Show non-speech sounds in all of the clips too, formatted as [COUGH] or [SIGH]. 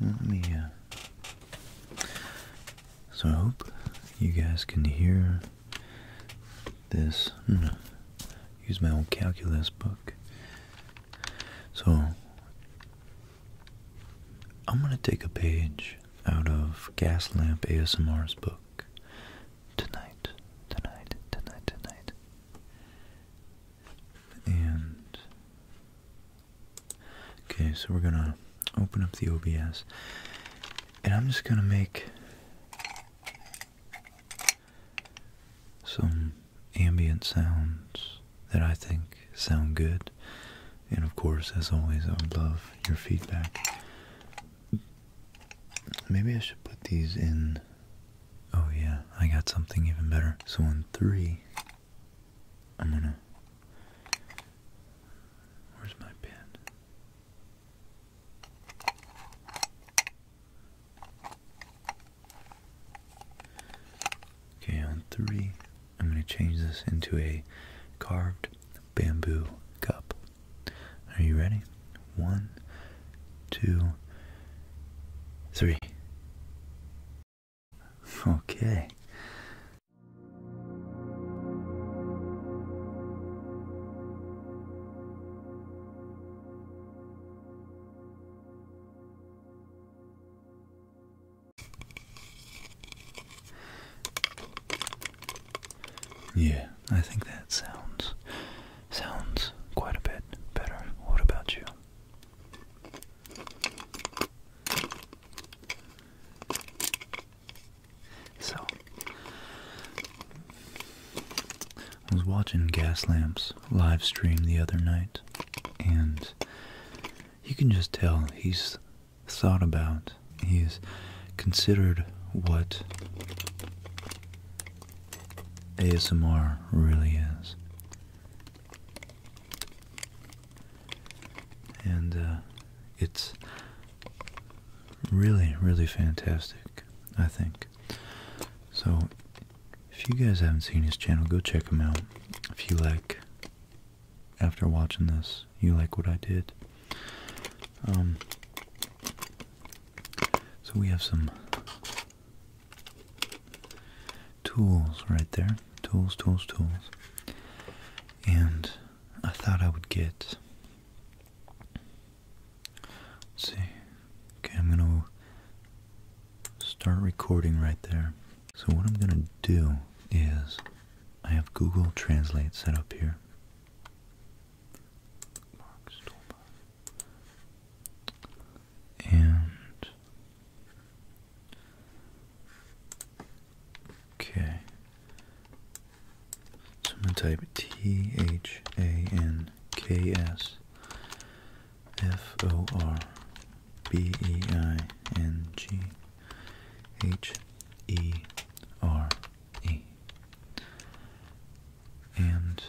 Let me, uh, so I hope you guys can hear this. No, use my old calculus book. So, I'm going to take a page out of Gaslamp ASMR's book tonight, tonight, tonight, tonight. And okay, so we're gonna open up the OBS, and I'm just gonna make some ambient sounds that I think sound good. And of course, as always, I would love your feedback. Maybe I should put these in Oh yeah, I got something even better. So on three, I'm gonna. Where's my pen? Okay, on three, I'm gonna change this into a carved bamboo cup. Are you ready? One, two, three. Okay. Yeah, I think that sounds Sounds quite a bit better. What about you? So, I was watching Gaslamp's live stream the other night, and you can just tell he's thought about, he's considered what ASMR really is. And uh, it's really, really fantastic, I think. So, if you guys haven't seen his channel, go check him out. If you like, after watching this, you like what I did. Um, so we have some tools right there. Tools, tools, tools. And I thought I would get. Let's see. Okay, I'm gonna start recording right there. So, what I'm gonna do is I have Google Translate set up here and okay. So I'm gonna type T H A N K S F O R B E I N G H E R E and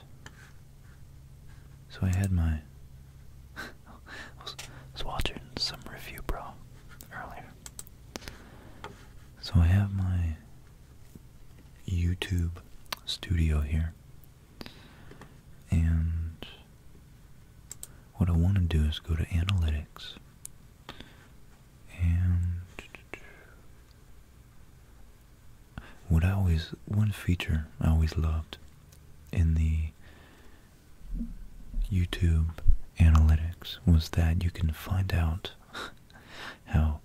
so I had my. [LAUGHS] I was, watching some review, bro, earlier. So I have my YouTube studio here, and what I want to do is go to analytics and what I always one feature I always loved in the YouTube analytics was that you can find out [LAUGHS] how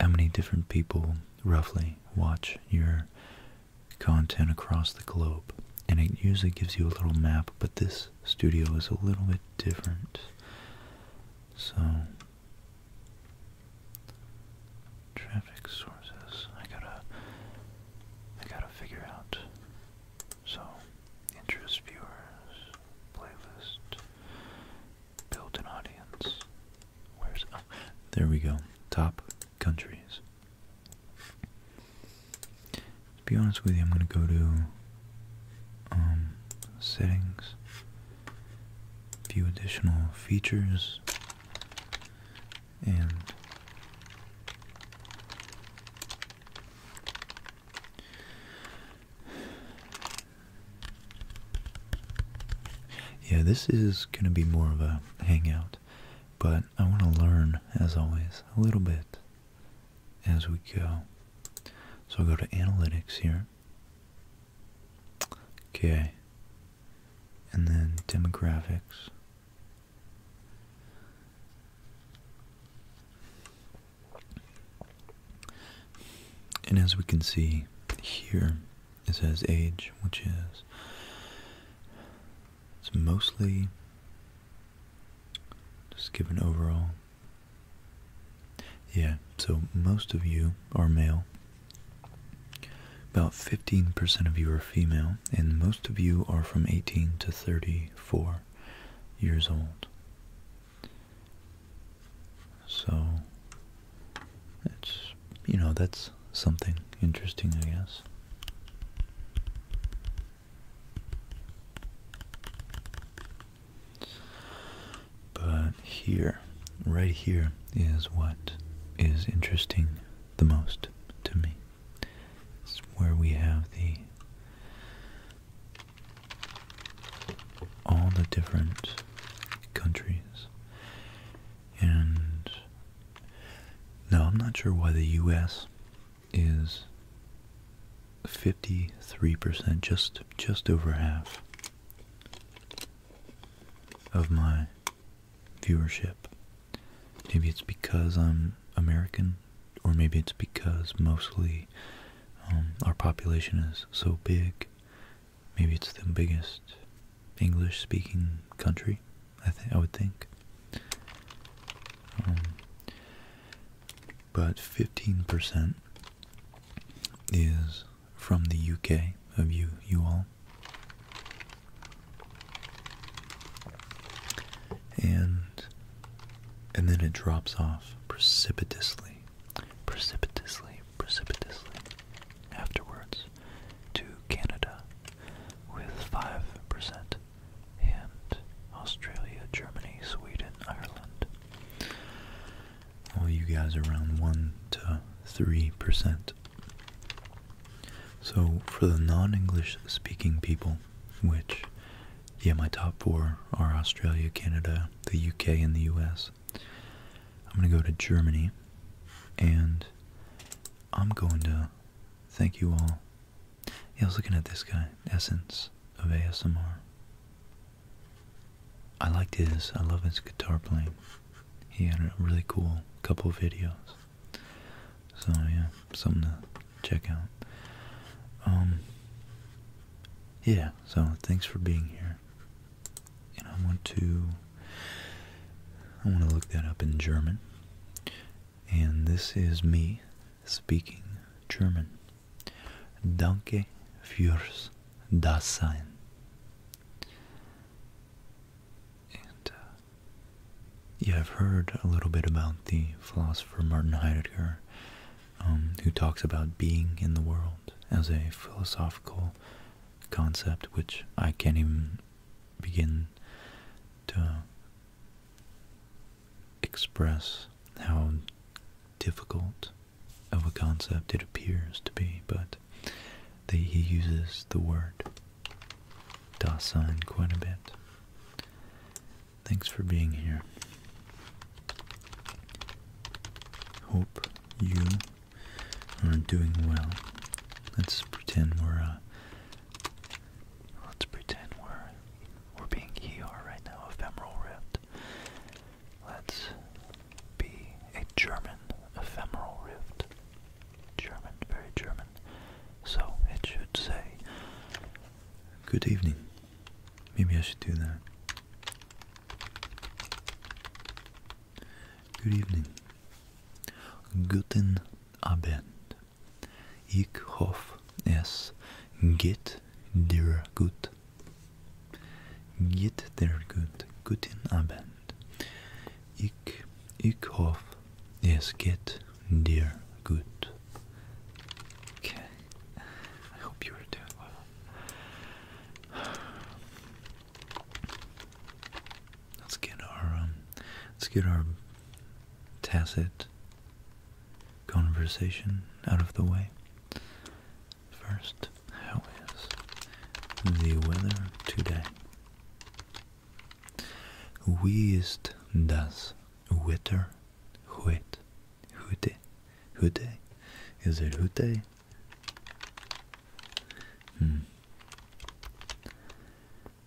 how many different people roughly watch your content across the globe and it usually gives you a little map but this studio is a little bit different so Traffic sources. I gotta I gotta figure out. So interest viewers, playlist, build an audience. Where's oh there we go. Top countries. To be honest with you, I'm gonna go to um settings, view additional features, and yeah, this is going to be more of a hangout, but I want to learn, as always, a little bit as we go. So I'll go to analytics here. Okay, and then demographics. And as we can see here, it says age, which is it's mostly just given overall. Yeah, so most of you are male, about 15% of you are female, and most of you are from 18 to 34 years old. So, it's, you know, that's something interesting, I guess. But here right here, is what is interesting the most to me. It's where we have the all the different countries. And now I'm not sure why the US is 53% just just over half of my viewership. Maybe it's because I'm American, or maybe it's because mostly um, our population is so big. Maybe it's the biggest English-speaking country. I think I would think. Um, but 15% is from the UK of you, you all. And and then it drops off precipitously, precipitously, precipitously afterwards to Canada with 5% and Australia, Germany, Sweden, Ireland. All you guys around 1 to 3% so, for the non English speaking people, which, yeah, my top four are Australia, Canada, the UK, and the US, I'm going to go to Germany and I'm going to thank you all. Yeah, I was looking at this guy, Essence of ASMR. I liked his, I love his guitar playing he had a really cool couple videos. So yeah, something to check out. Um, yeah, so thanks for being here. And I want to, I want to look that up in German. And this is me speaking German. Danke fürs Dasein. Uh, yeah, I've heard a little bit about the philosopher Martin Heidegger, um, who talks about being in the world as a philosophical concept, which I can't even begin to express how difficult of a concept it appears to be, but that he uses the word Dasein quite a bit. Thanks for being here. Hope you are doing well. Let's pretend we're uh, let's pretend we're we're being here right now, ephemeral rift. Let's be a German ephemeral rift. German, very German. So it should say, Good evening. Maybe I should do that. Good evening. Guten Abend. Ich hoffe, es geht dir gut. Geht dir gut. Guten Abend. Ik, ik hoff, es geht dir gut. Okay, I hope you are there. Let's get our um, let's get our tacit conversation out of the way first how is the weather today? Wie das Wetter heute? Heute? Heute? Is it heute? Hmm.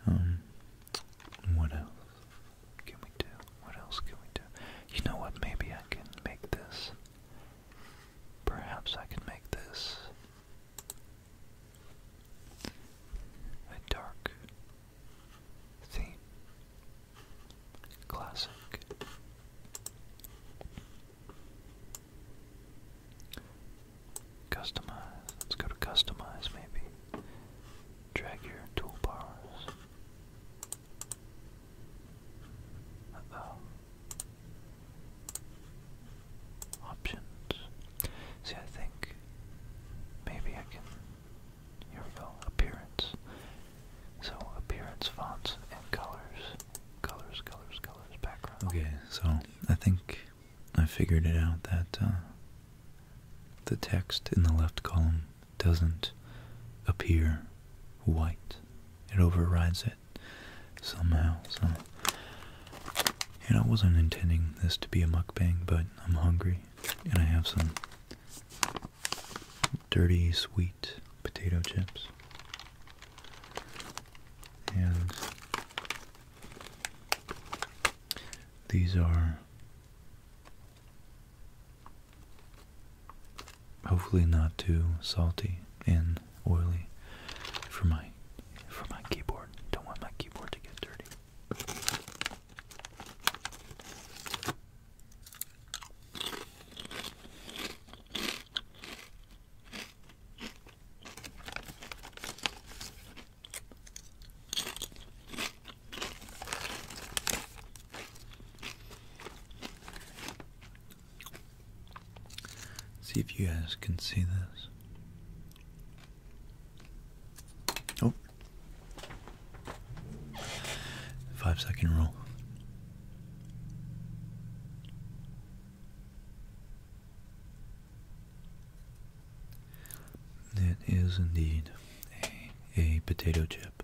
Um, what else can we do? What else can we do? You know what? Maybe I can make this. Perhaps I can make this a dark theme, classic. Customize. Let's go to customize, maybe. Drag your toolbars. Uh oh. Options. See, I think maybe I can. Here we go. Appearance. So appearance, fonts, and colors. Colors, colors, colors, background. Okay, so I think I figured it out that uh, the text in the left column doesn't appear white. It overrides it somehow. So, and I wasn't intending this to be a mukbang, but I'm hungry, and I have some dirty sweet potato chips, and these are. Hopefully, not too salty In oily for my for my keyboard. Don't want my keyboard to get dirty. See if you guys can see this. Oh, five-second rule. That is indeed a potato chip.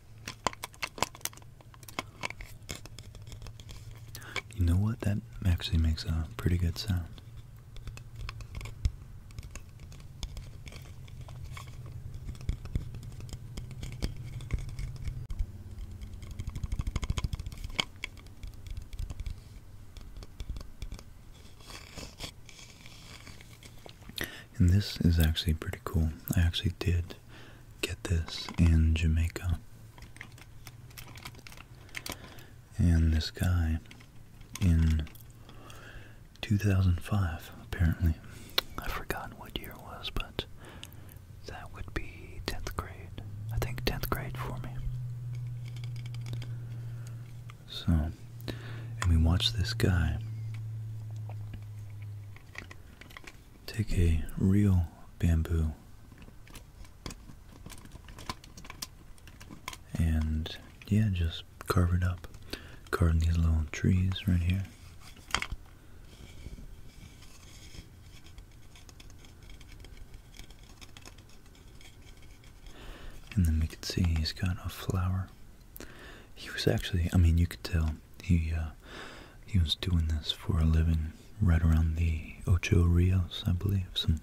you know what? That actually makes a pretty good sound. And this is actually pretty cool. I actually did get this in Jamaica. And this guy in 2005, apparently. I forgot what year it was, but that would be 10th grade. I think 10th grade for me. So, and we watched this guy Take a real bamboo and yeah, just carve it up. Carving these little trees right here. And then we can see he's got a flower he was actually, I mean, you could tell he uh, he was doing this for a living right around the Ocho Rios, I believe. Some,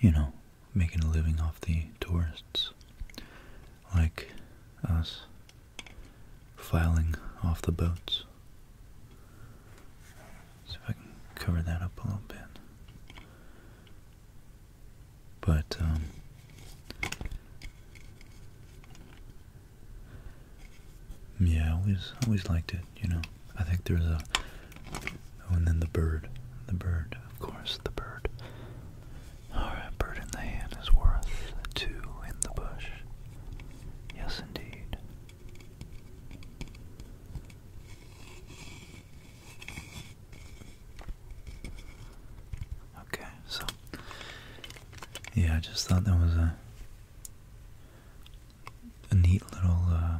you know, making a living off the tourists like us filing off the boats. See if I can cover that up a little bit but um, yeah, I always always liked it. You know, I think there's a oh, and then the bird, the bird, of course, the bird. All right, bird in the hand is worth two in the bush. Yes, indeed. Okay, so yeah, I just thought that was a a neat little uh,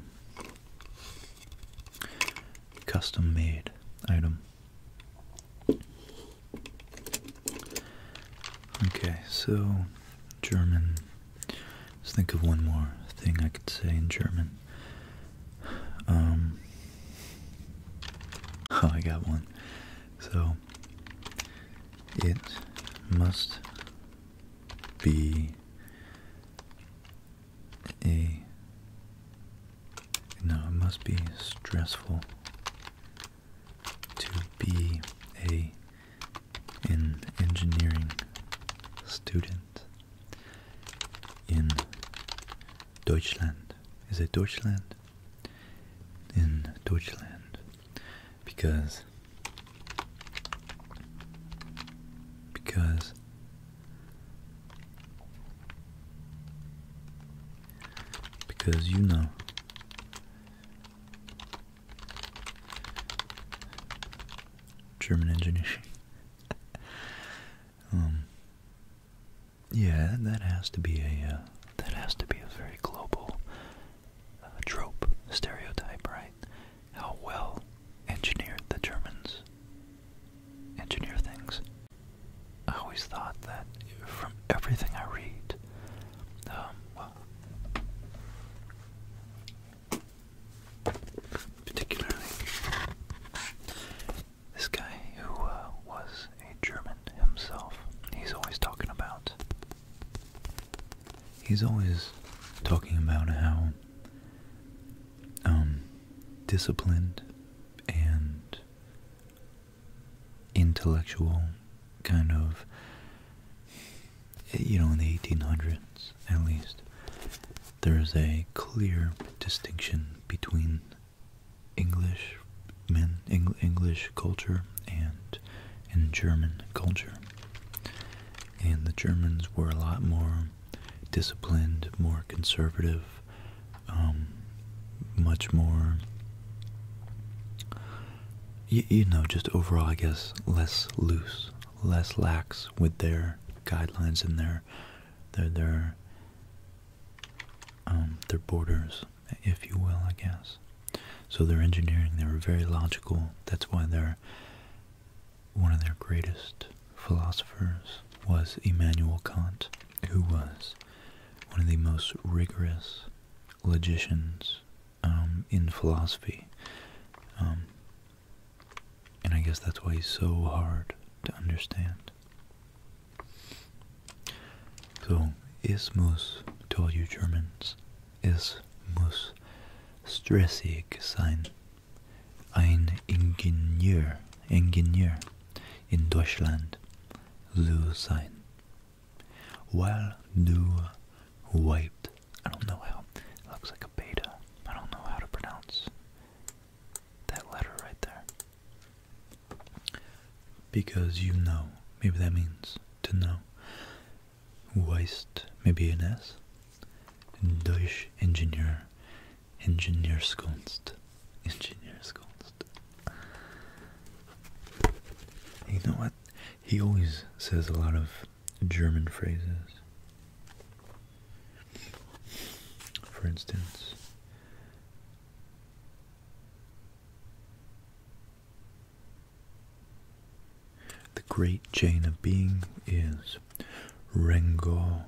custom-made item. Okay, so German. Let's think of one more thing I could say in German. Um, [LAUGHS] oh, I got one. So it must be a no, it must be stressful to be a an engineering student in Deutschland. Is it Deutschland? in Deutschland because because because you know German engineering [LAUGHS] um, yeah, that has to be a uh, that has to be a very global uh, trope, stereotype, right? How well engineered the Germans engineer things. I always thought that from everything I read, um, particularly this guy who uh, was a German himself. He's always talking about. He's always talking about how um, disciplined and intellectual kind of you know in the 1800s at least there is a clear distinction between English men, English culture, and in German culture. And the Germans were a lot more disciplined, more conservative, um, much more, you, you know, just overall, I guess, less loose, less lax with their guidelines and their their their um, their borders if you will, I guess. So they're engineering, they are very logical. That's why they one of their greatest philosophers was Immanuel Kant, who was one of the most rigorous logicians um, in philosophy. Um, and I guess that's why he's so hard to understand. So, is muss to you Germans, es muss stressig sein. Ein Ingenieur, Ingenieur in Deutschland zu sein. Well, du white. I don't know how, it looks like a beta. I don't know how to pronounce that letter right there because you know, maybe that means to know. Weist, maybe an S. Deutsch Engineer, Ingenieurskunst, Ingenieurskunst. You know what? He always says a lot of German phrases. For instance, the great chain of being is Rengo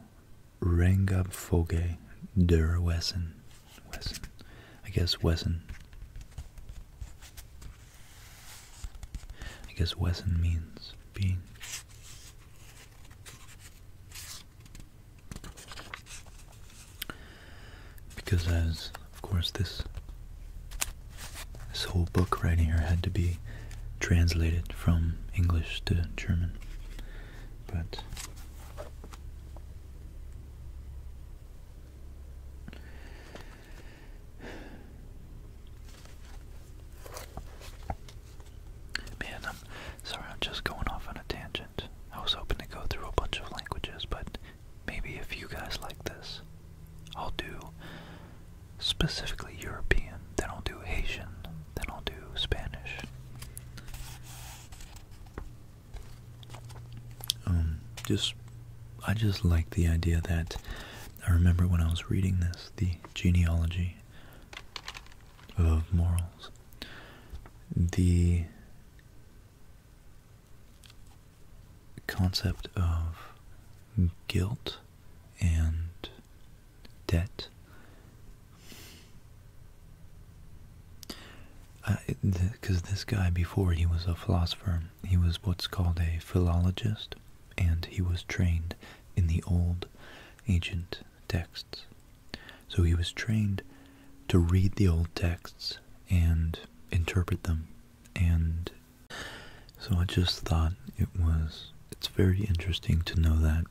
Rengabfoge, Foge Der Wesen. Wesen. I guess Wesen. I guess Wesen means being. Because as of course this this whole book right here had to be translated from English to German. But Man, I'm sorry, I'm just going off on a tangent. I was hoping to go through a bunch of languages, but Maybe if you guys like this, I'll do specifically European, then I'll do Haitian, then I'll do Spanish. Um, just, I just like the idea that I remember when I was reading this, the genealogy of morals. The concept of guilt and debt. Because this guy, before he was a philosopher, he was what's called a philologist, and he was trained in the old ancient texts. So he was trained to read the old texts and interpret them. And so I just thought it was, it's very interesting to know that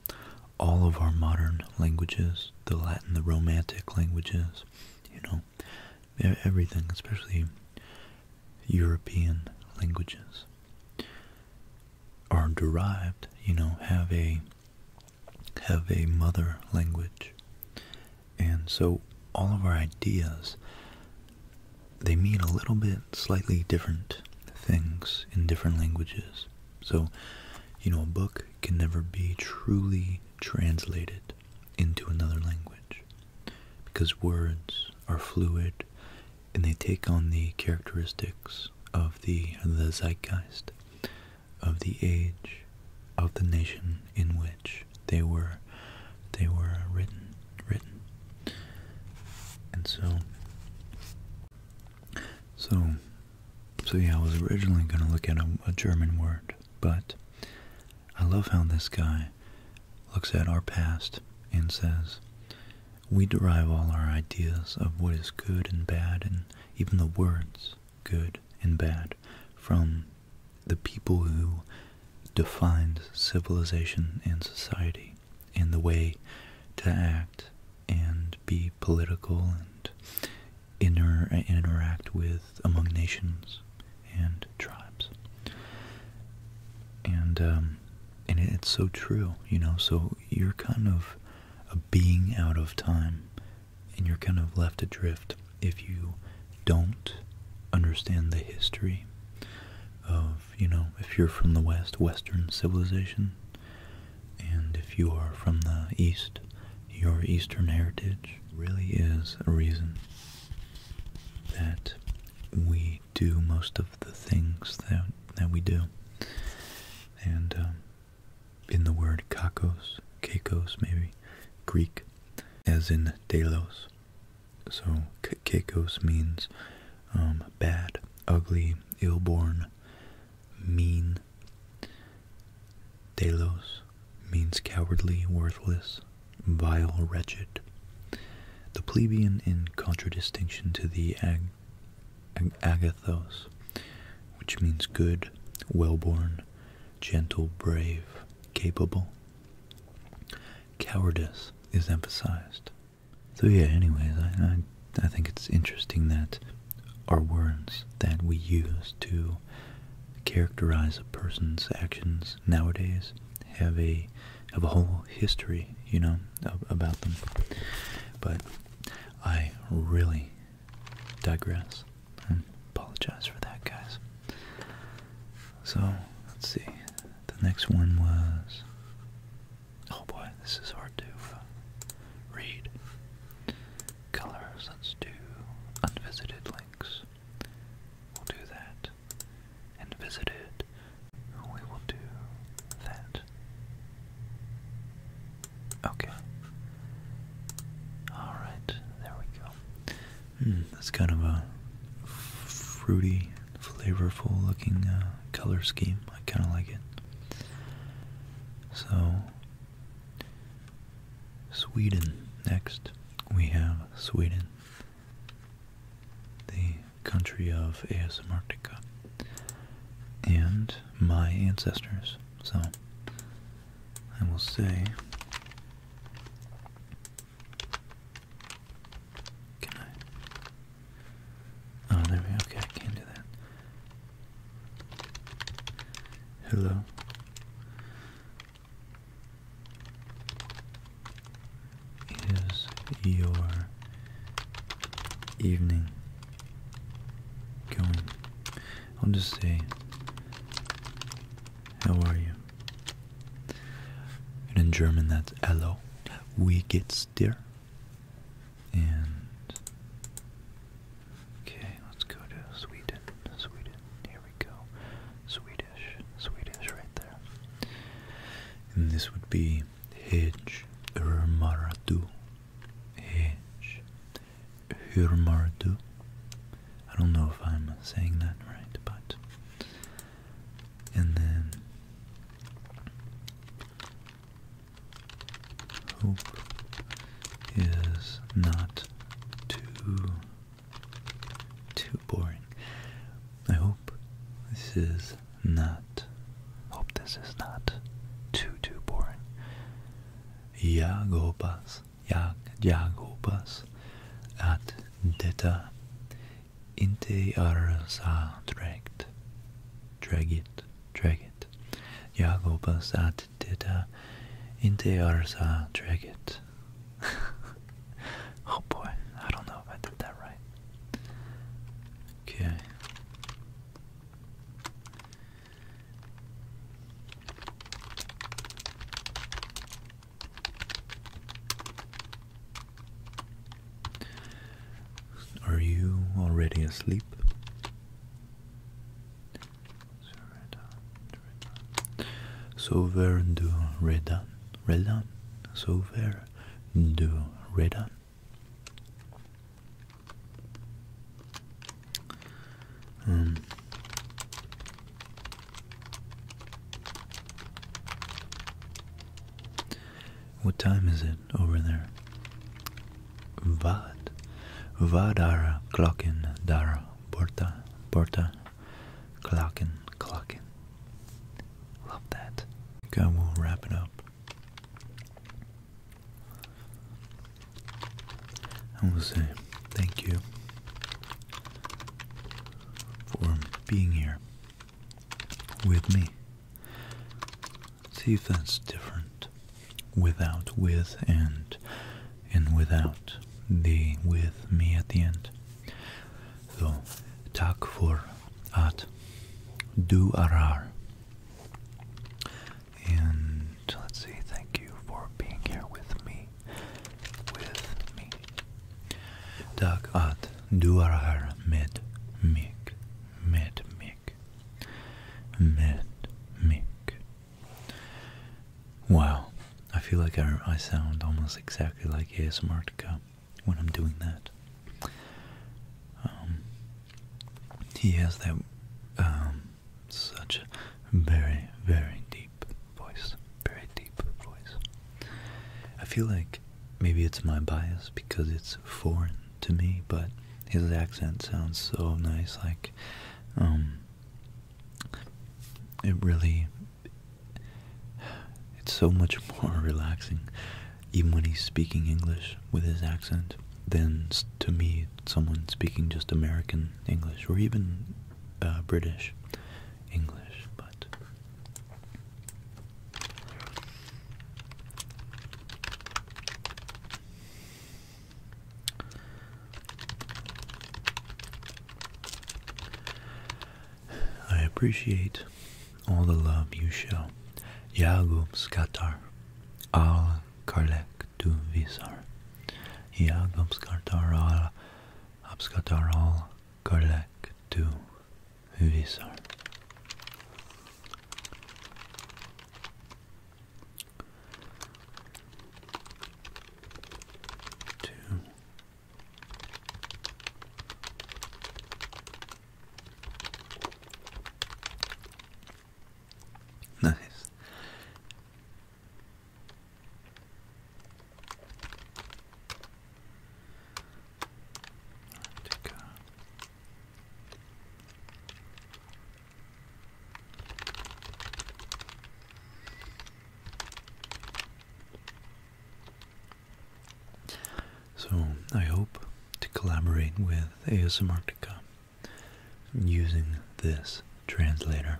all of our modern languages, the Latin, the Romantic languages, you know, everything, especially European languages, are derived, you know, have a have a mother language. And so all of our ideas, they mean a little bit slightly different things in different languages. So, you know, a book can never be truly translated into another language because words are fluid and they take on the characteristics of the, zeitgeist of the age of the nation in which they were they were written written and so so so yeah I was originally going to look at a, a German word but I love how this guy looks at our past and says we derive all our ideas of what is good and bad and even the words good and bad from the people who defined civilization and society and the way to act and be political and inter interact with among nations and tribes. And, um, and it's so true, you know, so you're kind of a being out of time and you're kind of left adrift if you don't understand the history of, you know, if you're from the West, Western civilization, and if you are from the East, your Eastern heritage really is a reason that we do most of the things that, that we do. And um, in the word kakos, keikos maybe, Greek as in Delos. So Kekos means um, bad, ugly, ill-born, mean. Delos means cowardly, worthless, vile, wretched. The plebeian in contradistinction to the agathos, which means good, well-born, gentle, brave, capable. Cowardice is emphasized. So yeah, anyways, I, I, think it's interesting that our words that we use to characterize a person's actions nowadays have a have a whole history, you know, about them. But I really digress. I apologize for that, guys. So, let's see. The next one was. Oh boy, this is hard to uh, read. Colors, let's do unvisited links. We'll do that. And visited, we will do that. Okay. Alright, there we go. Hmm, that's kind of a fruity, flavorful looking uh, color scheme. I kind of like it. So, Sweden. Next, we have Sweden, the country of ASMRtica, and my ancestors. So, I will say can I? Oh, there we go. Okay, I can do that. Hello. Is your evening going? I'll just say how are you? And in German, that's Hello. We geht's dir? And. Okay, let's go to Sweden. Sweden. Here we go. Swedish. Swedish right there. And this would be Hedge Ermaradu. Hedge Hurmardu. I don't know if I'm saying that right, but. And then. Hope is not too. too boring. I hope this is not. Hope this is not too, too boring. Ya jag jag hoppas att detta inte är så drägt. Drägigt, drägigt. Jag hoppas att detta inte är så drägigt. [LAUGHS] oh boy, I don't know if I did that right. Okay. Are you already asleep? Sover du redan, redan, sover du redan. Um, what time is it over there? Vad, vadara klockan dara borta borta klockan klockan. Love that. I will wrap it up. I will say thank you for being here with me. See if that's different. Without, with, and, and without the with me at the end. So, tak for at do arar. And let's see, thank you for being here with me journey with me. Dag at duarhar med mik, med mik, med mik. Wow, I feel like I, I sound almost exactly like ASMRtica when I'm doing that. Um, he has that um, such a very, very deep voice. Very deep voice. I feel like maybe it's my bias because it's foreign to me, but his accent sounds so nice. Like, um, it really, it's so much more [LAUGHS] relaxing, even when he's speaking English with his accent, than to me, someone speaking just American English or even uh, British English, but I appreciate all the love you show. Yagub al Karlek du Visar. Yagub al Abskadarhal Karlak to visar. Two. Nice. Take so I hope to collaborate with ASMartica using this translator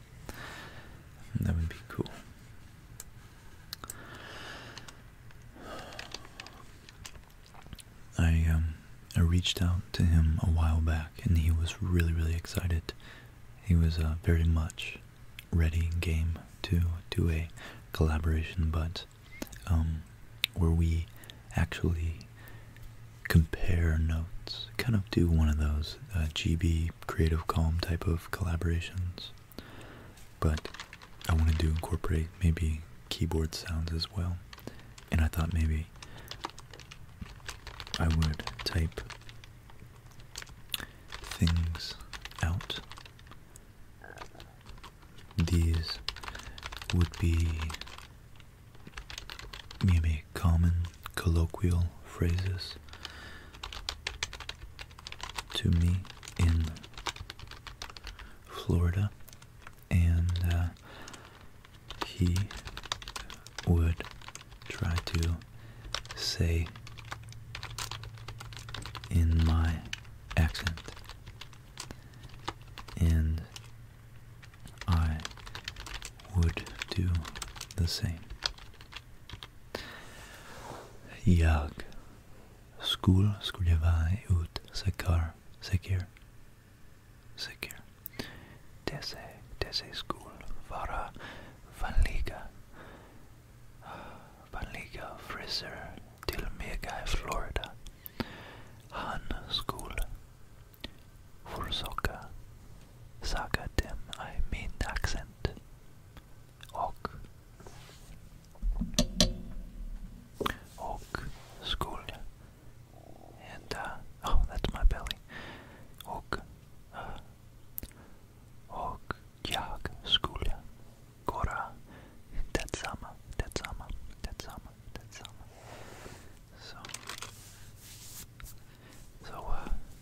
That would be cool. I um I reached out to him a while back and he was really really excited. He was uh, very much ready game to do a collaboration but um where we actually compare notes, kind of do one of those uh, GB Creative Calm type of collaborations. But I wanted to incorporate maybe keyboard sounds as well, and I thought maybe I would type things out. These would be mimic common colloquial phrases to me in Florida, and uh, he would try to say in my accent and I would do the same. Jag skulle skulle ut säker, säker, säker. Dessa, dessa skulle vara vanliga, vanliga frisör till mig i Florida. Han skulle Fursoka saga dem I mean accent. Och. Och school. And uh oh that's my belly. Och uh Och jag skulle Gora That sama, that sama, that sama, that sama. So so uh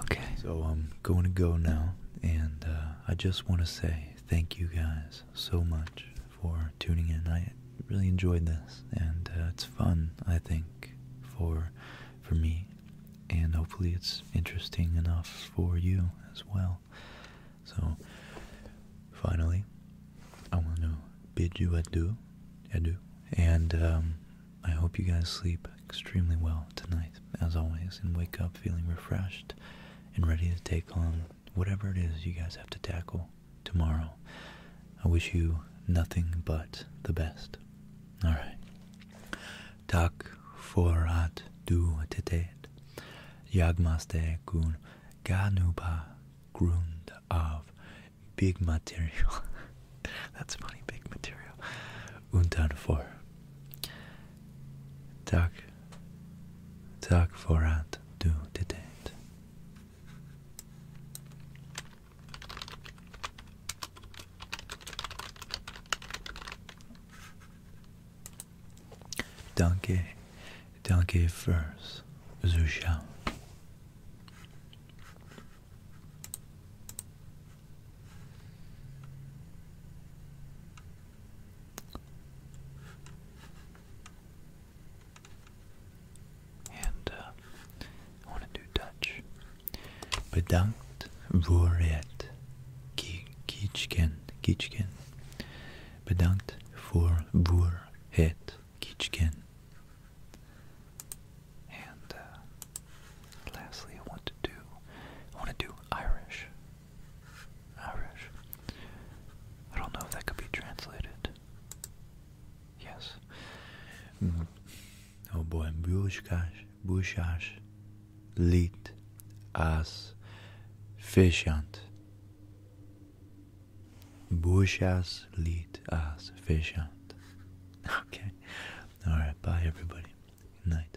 okay. So I'm going to go now, and uh, I just want to say thank you guys so much for tuning in. I really enjoyed this, and uh, it's fun, I think, for for me, and hopefully it's interesting enough for you as well. So, finally, I want to bid you adieu, adieu, and um, I hope you guys sleep extremely well tonight, as always, and wake up feeling refreshed and ready to take on whatever it is you guys have to tackle tomorrow. I wish you nothing but the best. All right. Tak forat du tetet. Jagmaste kun ganuba grund av big material. [LAUGHS] That's funny, big material. Untan for. Tack. Tack för att do tittade. Danke, danke fürs Zuschauen. And uh, I want to do Dutch. Bedankt voor het kitchen, kitchen. Bedankt voor voor het kitchen. And uh, lastly, I want to do I want to do Irish. Arash. I don't know if that could be translated. Yes. Mm-hmm. Oh boy, Bushkash, Bushash, Lit, As, Fishant. Bushas, Lit, As, Fishant. [LAUGHS] Okay. Alright, bye everybody. Good night.